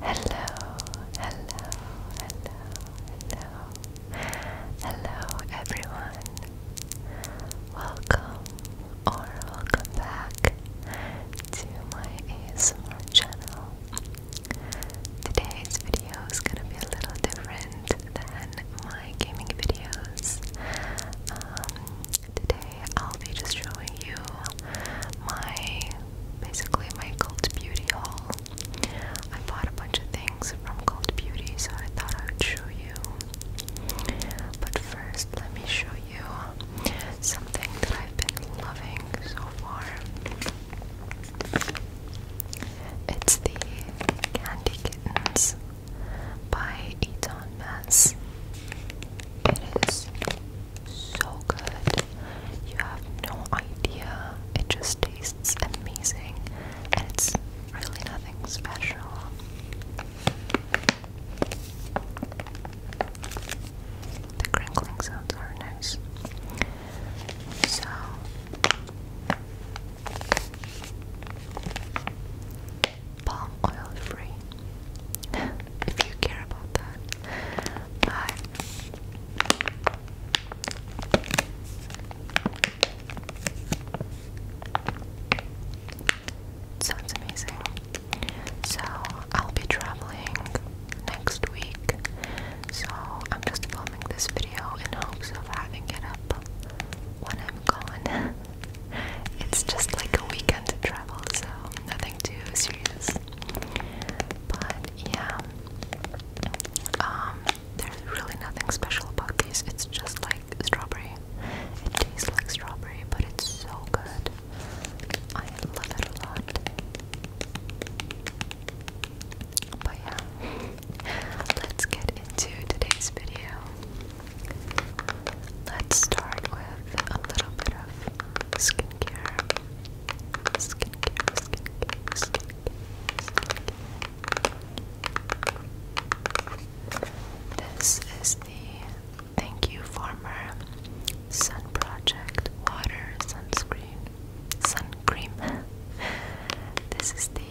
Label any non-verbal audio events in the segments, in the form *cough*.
Hello, hello, hello, hello, hello, everyone. Welcome or welcome back to my ASMR channel. Today's video is gonna be a little different than my gaming videos. Um, today I'll be just showing you my basically my Cult Beauty haul. I bought a bunch of things from Cult Beauty, so I thought I would show you. But first, let me show you something that I've been loving so far. It's the Candy Kittens by Eton Mess. It is so good. You have no idea. It just tastes amazing. And it's really nothing special. The crinkling sounds are nice. So palm oil free if you care about that. But Sounds amazing. So, I'll be traveling next week. So, I'm just filming this video in hopes of having it up when I'm gone. *laughs* it's just like a weekend to travel, so nothing too serious. But yeah, um, there's really nothing special about these. It's just like strawberry. It tastes like strawberry, but it's so good. I love it a lot. But yeah, *laughs* let's get into today's video. Let's start with a little bit of skincare, skincare, skincare, skincare. This is the Thank You Farmer Sun Project Water Sunscreen Sun Cream. this is the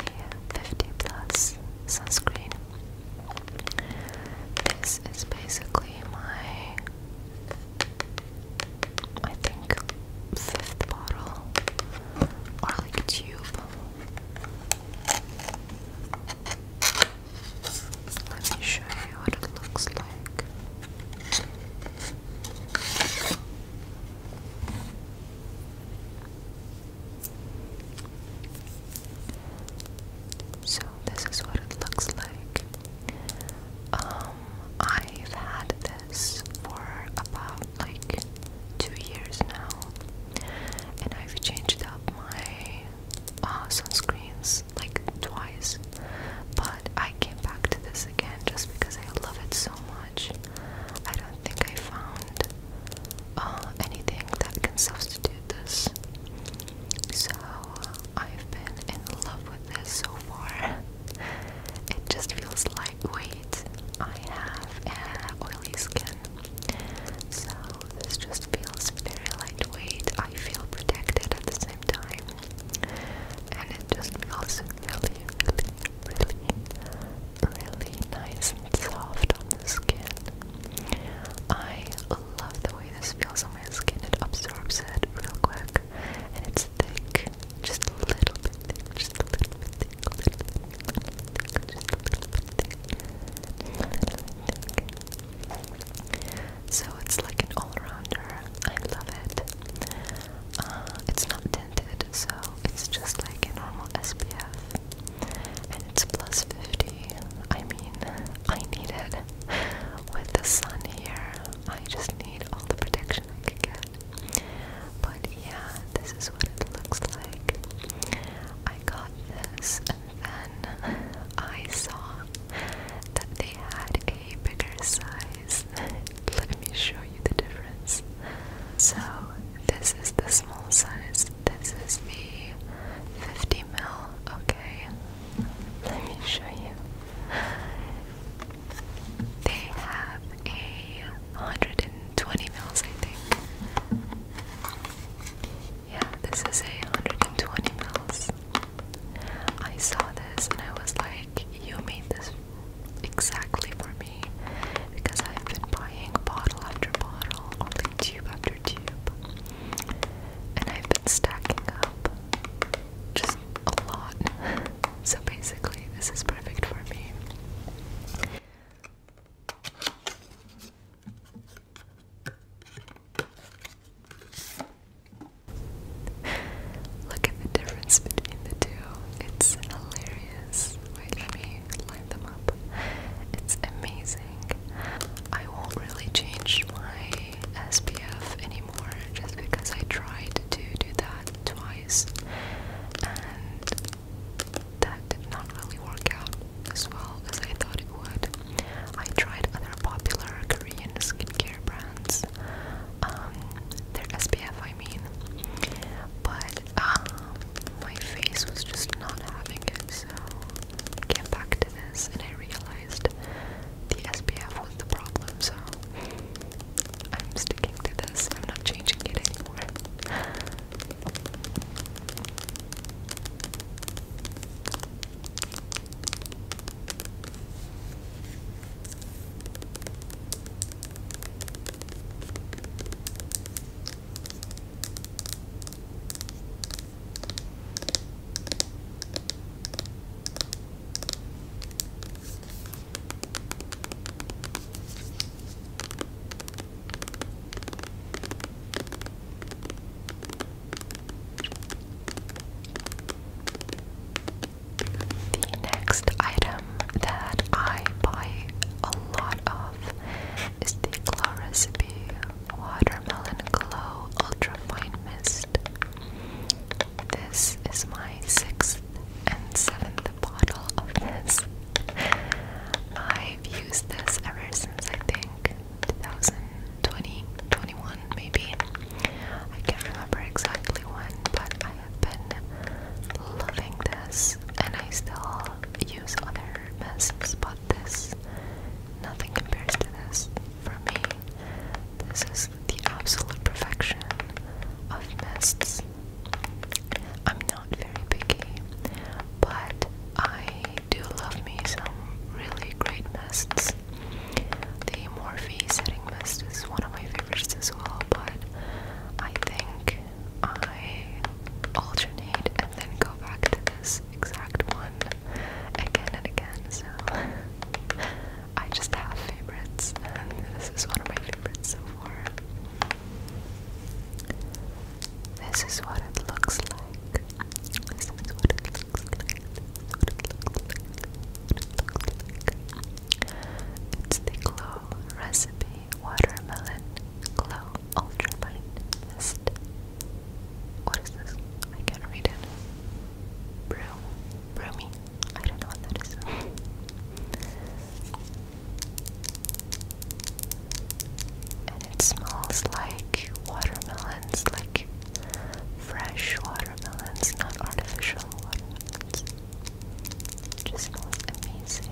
50 Plus Sunscreen. This is basically my I think fifth bottle or tube. Let me show you what it looks like. So this is what it looks like. Um, I've had this for about like two years now, and I've changed up my uh, sunscreens like twice, but I came back to this again just because I love it so much. I don't think I found uh, anything that can substitute this. So I've been in love with this so far. It just feels lightweight. I have oily skin, so this just feels very lightweight. I feel protected at the same time, and it just feels really, really, really, really nice and soft on the skin. I love the way this feels on my skin. It absorbs it real quick, and it's thick, just a little bit thick, just a little bit thick, So it's like an all-rounder. I love it. Uh, it's not tinted, so it's just like a normal SPF, and it's plus 50. I mean. I need it. With the sun here, I just need all the protection I can get. But yeah, this is what it looks like. I got this, and then I saw that they had a bigger size. Let me show you the difference. So, this is the small size, this is the 50 mil, okay? Let me show you. They have a hundred and twenty mils, I think. Yeah, this is a hundred and twenty mils. I saw this and I was like, you made this exactly for me because I've been buying bottle after bottle, only tube after tube and I've been stacking up just a lot. *laughs* so basically, this is perfect for me. Look at the difference between the two. It's hilarious. Wait, me line them up. It's amazing. I won't really change my SPF anymore just because I tried to do that twice and that did not really work out as well as I thought it would. I tried other popular Korean skincare brands, um, their SPF I mean, but um, my face was just not having it so came back to this and I realized the SPF was the problem, so I'm sticking to this. I'm not changing it anymore. The next item that I buy a lot of is the Claw recipe Watermelon Glow Ultra Fine Mist. This is my sixth and seventh bottle of this. I've used this ever since I think 2020, 21 maybe. I can't remember exactly when, but I have been loving this and I still use other mists, but this, nothing compares to this. For me, this is the absolute perfection of mists. I'm not very picky, but I do love me some really great mists. The Morphe setting mist is one of my favorites as well, but I think I alternate and then go back to this exact one again and again, so *laughs* I just have favorites, and this is one of my favorites so far. This is what it looks like. This is what it looks like. It's the Glow Recipe Watermelon Glow Ultramine Mist what is this? I can't read it. Brew. Broomy. I don't know what that is. and it smells like watermelons, like fresh watermelons, not artificial watermelons. just smells amazing.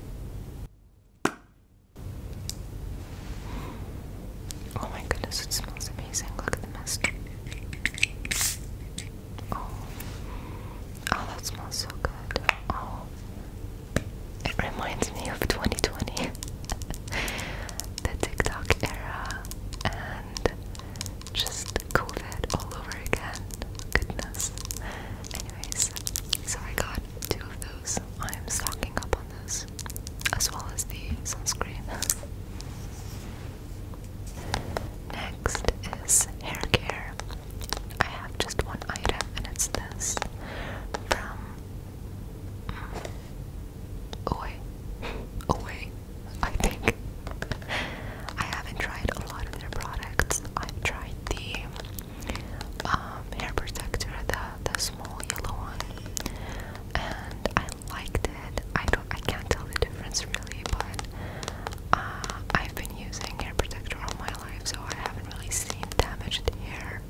Oh my goodness, it smells amazing. Look at the mist. Oh, oh that smells so good. Oh, it reminds me of 2020, *laughs* the TikTok era, and just COVID all over again. Goodness anyways, so I got two of those. I am stocking up on those, as well as the sunscreen. Next is hair care. I have just one item, and it's this from Away. Mm, Away, I think. I haven't tried a lot of their products. I've tried the um, hair protector, the the small yellow one, and I liked it. I don't, I can't tell the difference really, but uh, I've been using hair protector all my life, so I haven't really seen damaged hair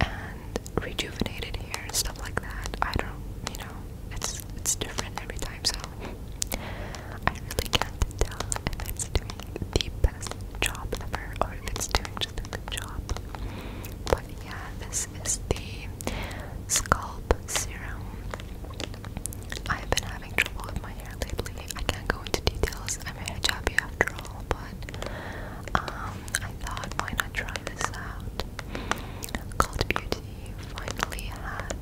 and rejuvenated hair and stuff like that. I don't, you know, it's it's different every time, so I really can't tell if it's doing the best job ever or it's doing just a good job. But yeah, this is the scalp serum. I've been having trouble with my hair lately. I can't go into details. I'm a hijabi after all, but um, I thought why not try this out. Cult Beauty finally had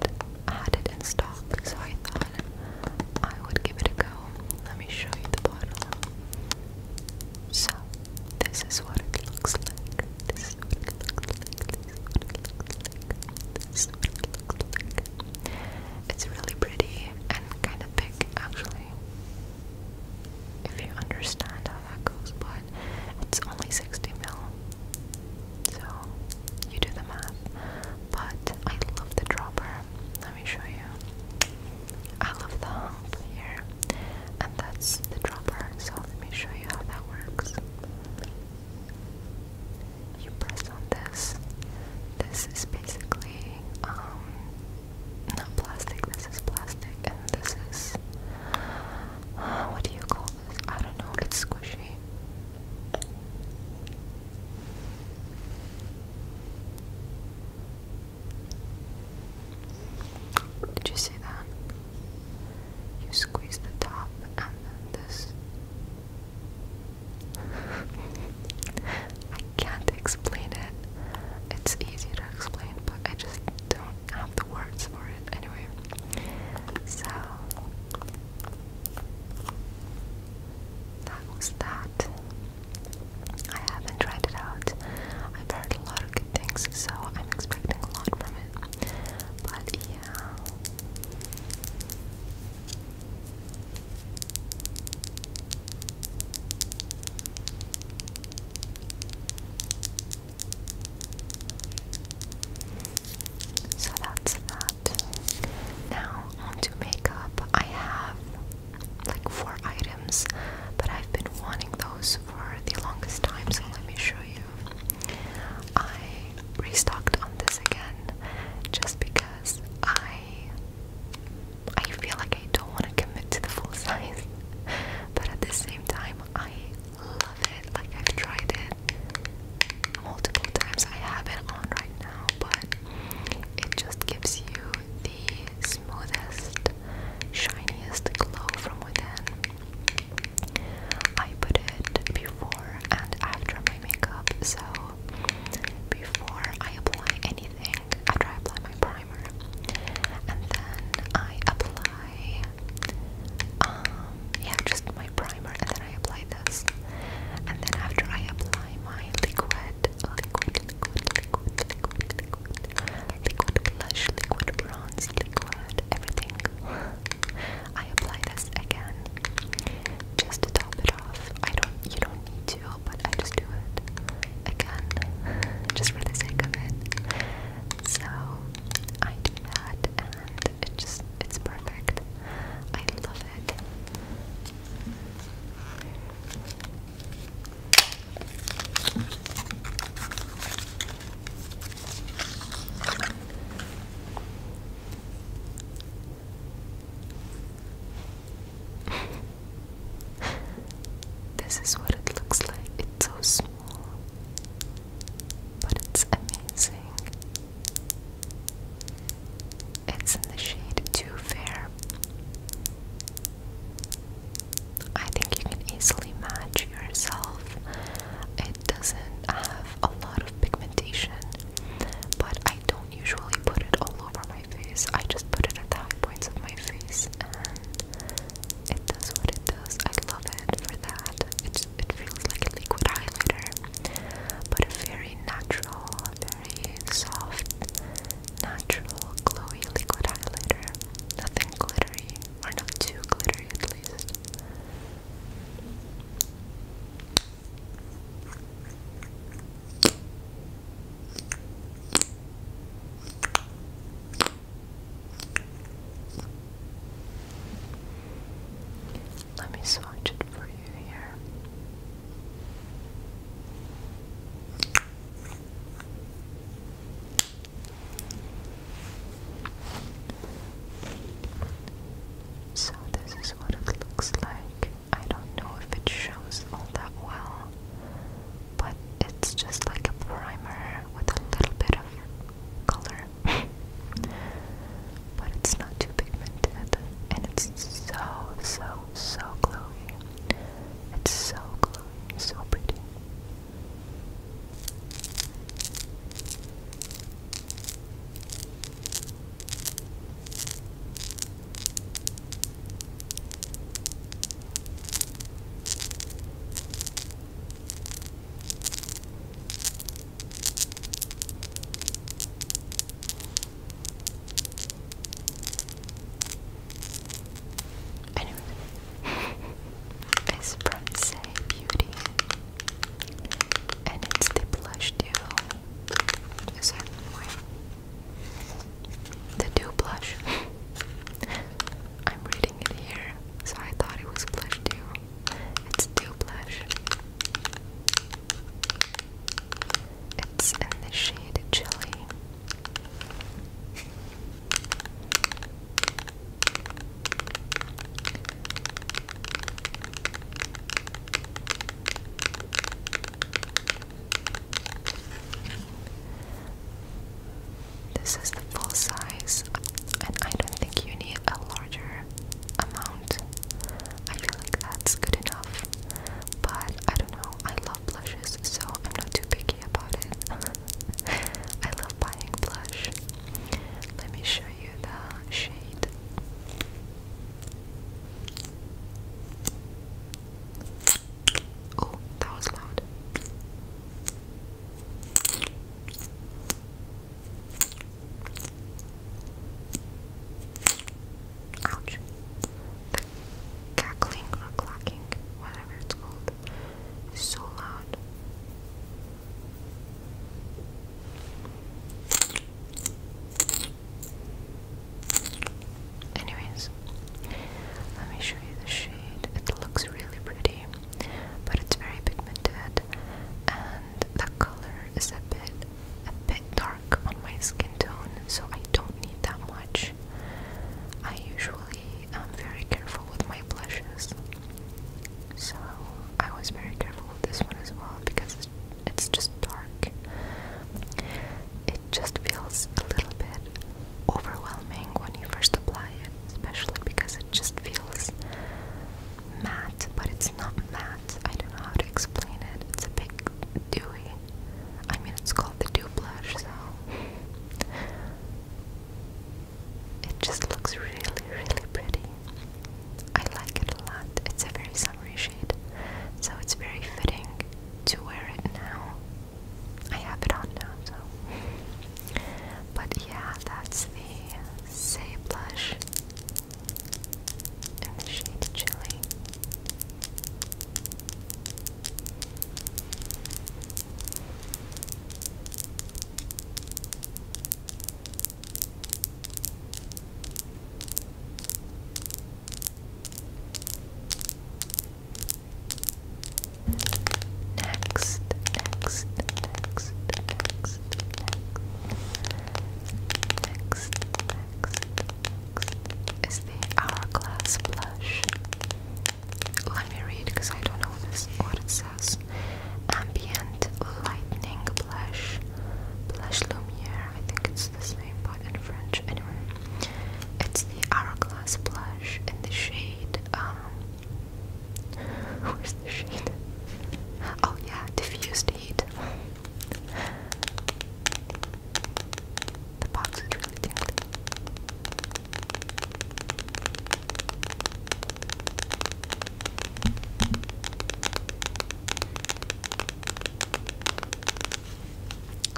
had it in stock, so I thought I would give it a go. Let me show you the bottle. So, this is what it looks like. This is It's really pretty and kind of thick, actually. If you understand how that goes, but it's only 60 mil. So, you do the math but I love the dropper. Let me show you. I love the hump here, and that's the dropper. So let me show you how that works. You press on this. This is basically um not plastic. This is plastic, and this is uh, what do you call this? I don't know. It's squishy. Did you see that? You squeeze the top and this. *laughs* I can't explain it. It's easy to explain, but I just don't have the words for it. Anyway, so that that. I haven't tried it out. I've heard a lot of good things, so I'm expecting a lot from it. But yeah. So that's that. Now, on makeup. I have like four items, but I've been wanting those for the longest time, so let me show you. I restocked on this again just because I I feel like I don't want to commit to the full *laughs* size, but at the same time, I love it. Like, I've tried it multiple times. I have it on right now but it just gives you the smoothest, shiniest glow from within. I put it before and after my makeup, so before I apply anything, after I apply my primer, and then I apply, um, yeah, just my primer, and then I apply this. And then after I apply my liquid, liquid, liquid, liquid, liquid, liquid, liquid blush, liquid bronze, liquid everything, I apply this again just to top it off. I don't, you don't need to, but I just do it again just for the sake of it. So I do that, and it just it's perfect. I love *laughs* this is what it looks like. It's so small, but it's amazing. It's in the shade Too Fair. I think you can easily match yourself. It doesn't have a lot of pigmentation, but I don't usually put it all over my face. I just put it at the high points of my face, and it does what it does. I love it for that. It, it feels like a liquid highlighter, but a very natural, very soft, natural, glowy liquid highlighter. Nothing glittery, or not too glittery at least. Let me swatch it for you here. So, this is what it looks like. I don't know if it shows all that well, but it's just like a primer with a little bit of color. *laughs* But it's not too pigmented and it's so, so, so glowy. It's so glowy, so pretty. Anyway, it's Bronze Beauty, and it's the blush duo. The dew blush. *laughs* I'm reading it here, so I thought it was blush duo. It's too blush. It's in the shade Chili. This is the full size, and I don't think you need a amount. I feel like that's good enough. But I don't know, I love blushes, so I'm not too picky about it. *laughs* I love buying blush. Let me show you the shade. Oh, that was loud. Ouch. The cackling or clacking, whatever it's called, is so loud. Anyways, let me show you the shade. It looks really pretty, but it's very pigmented, and color is a bit a bit dark on my skin tone, so I don't need that much. I usually am very careful with my blushes, so I was very careful with this one as well because it's just dark. It just feels a little bit overwhelming when you first apply it, especially because it just feels matte, but it's not matte. I don't know how to explain it. It's a big dewy. I mean, it's called the dew blush, so it just looks really, really pretty. I like it a lot. It's a very summery shade, so it's very fitting to wear it now. I have it on now, so. But yeah, that's the Say Blush and the shade Chili. Next, next, next, next, next. Next, next, next is the Hourglass Blush. Let me read because I don't know what it says. Ambient Lightning Blush. Blush Lumiere. I think it's the same, but in French. Anyway, it's the Hourglass Blush in the shade. Um, *laughs* where's the shade? Oh yeah, diffused the box is really tingly.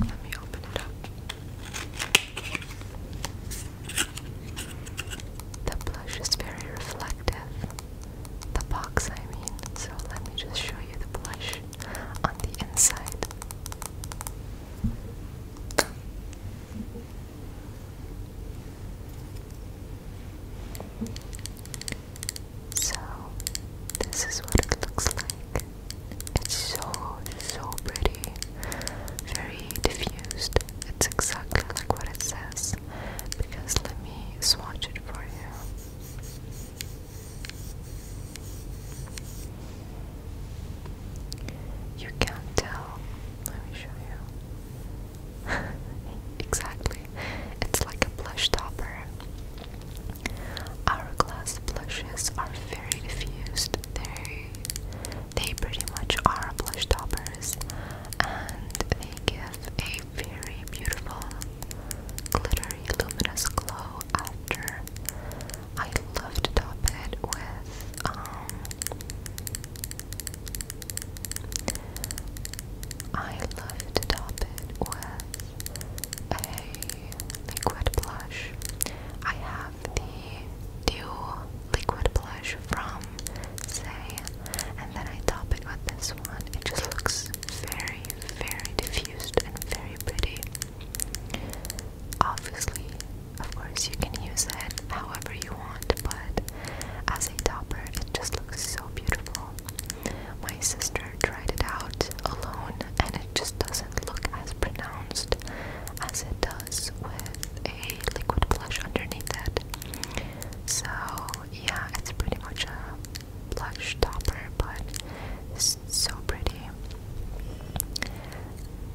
Let me open it up. The blush is very reflective. The box, I mean. So let me just show you the blush on the inside. So, this is what it looks like. It's so, so pretty, very diffused. It's exactly like what it says because let me swatch it for you. You can't tell. Let me show you. *laughs* exactly. It's like a blush topper. Hourglass blushes are very diffused. They they pretty much are blush toppers and they give a a very beautiful, glittery, luminous glow after. I love to top it with um I love to top it with a liquid blush. I have the Dew liquid blush from Say and then I top it with this one. It just looks very, very diffused and very pretty. Obviously, of course, you can use it however you want, but as a topper, it just looks so beautiful. My sister tried it out alone, and it just doesn't look as pronounced as it does with a liquid blush underneath it. So yeah, it's pretty much a blush topper, but it's so pretty.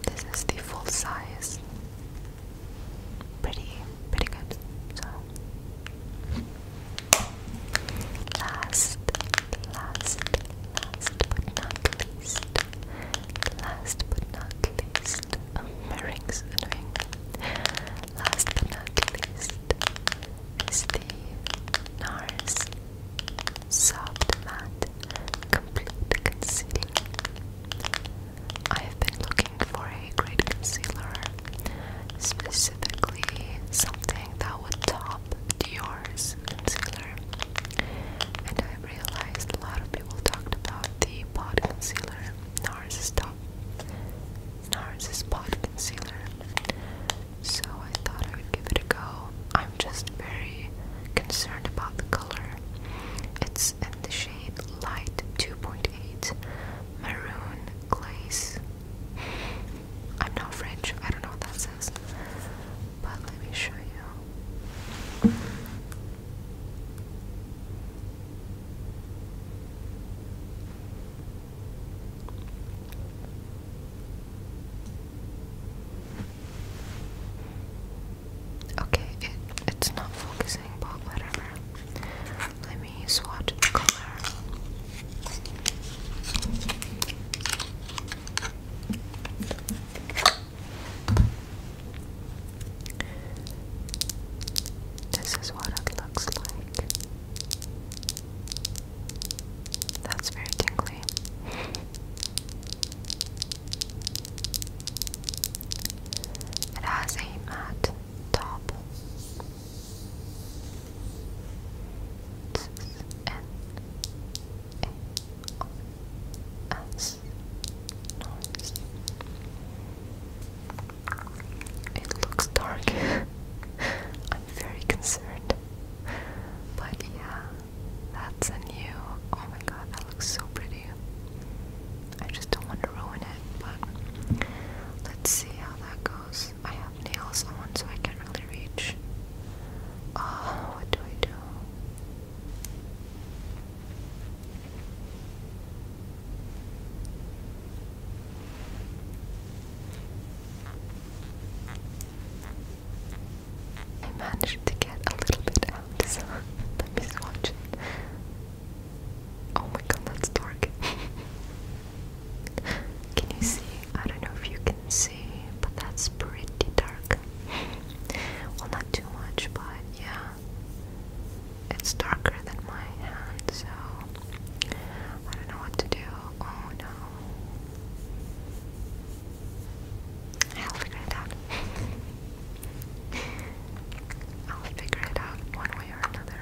This is the full size. Pretty, pretty good. So, last, last, last but not least, last but not least, um, my rings Last but not least is the NARS Soft Matte Complete Concealer. I have been looking for a great concealer, specifically something that would top Dior's concealer. And I realized a lot of people talked about the pot concealer, NARS is top NARS is pot concealer. So I thought I would give it a go. I'm just very concerned about the color. It's in the shade Light 2.8 Maroon Glaze. i I don't know what that says. But let me show you. Okay, it, it's not focusing, but whatever. Let me swatch the color. This is what it looks like. That's very tingly. It has a matte top. This it looks dark. *laughs* I'm very concerned. But yeah, that's a new. Oh my god, that looks so pretty. I just don't want to ruin it, but let's see how that goes. I have nails on, so I can't really reach. Oh, what do I do? I managed to get a little bit out, so *laughs* let me watch it. Oh my god, that's dark. *laughs* can you see? I don't know if you can see, but that's pretty dark. *laughs* well, not too much, but yeah it's darker than my hand, so I don't know what to do. Oh no. I'll figure it out. *laughs* I'll figure it out one way or another.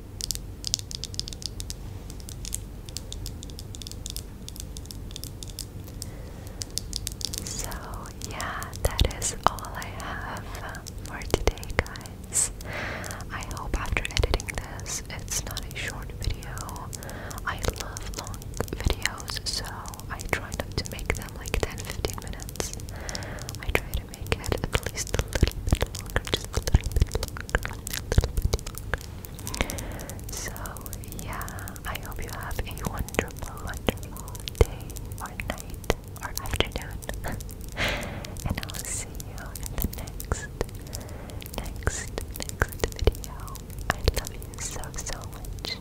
So, yeah, that is all I have for today, guys. I hope after editing this, it's not a short video. I love long videos, so I try not to make them like 10 15 minutes. I try to make it at least a little bit longer, just a little bit longer, a little bit longer. So, yeah, I hope you have a wonderful, wonderful day or night or afternoon. *laughs* and I'll see you in the next, next, next video. I love you so, so much.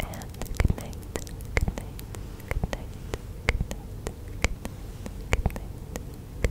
And good night, good night, good night, good night, good night, good night.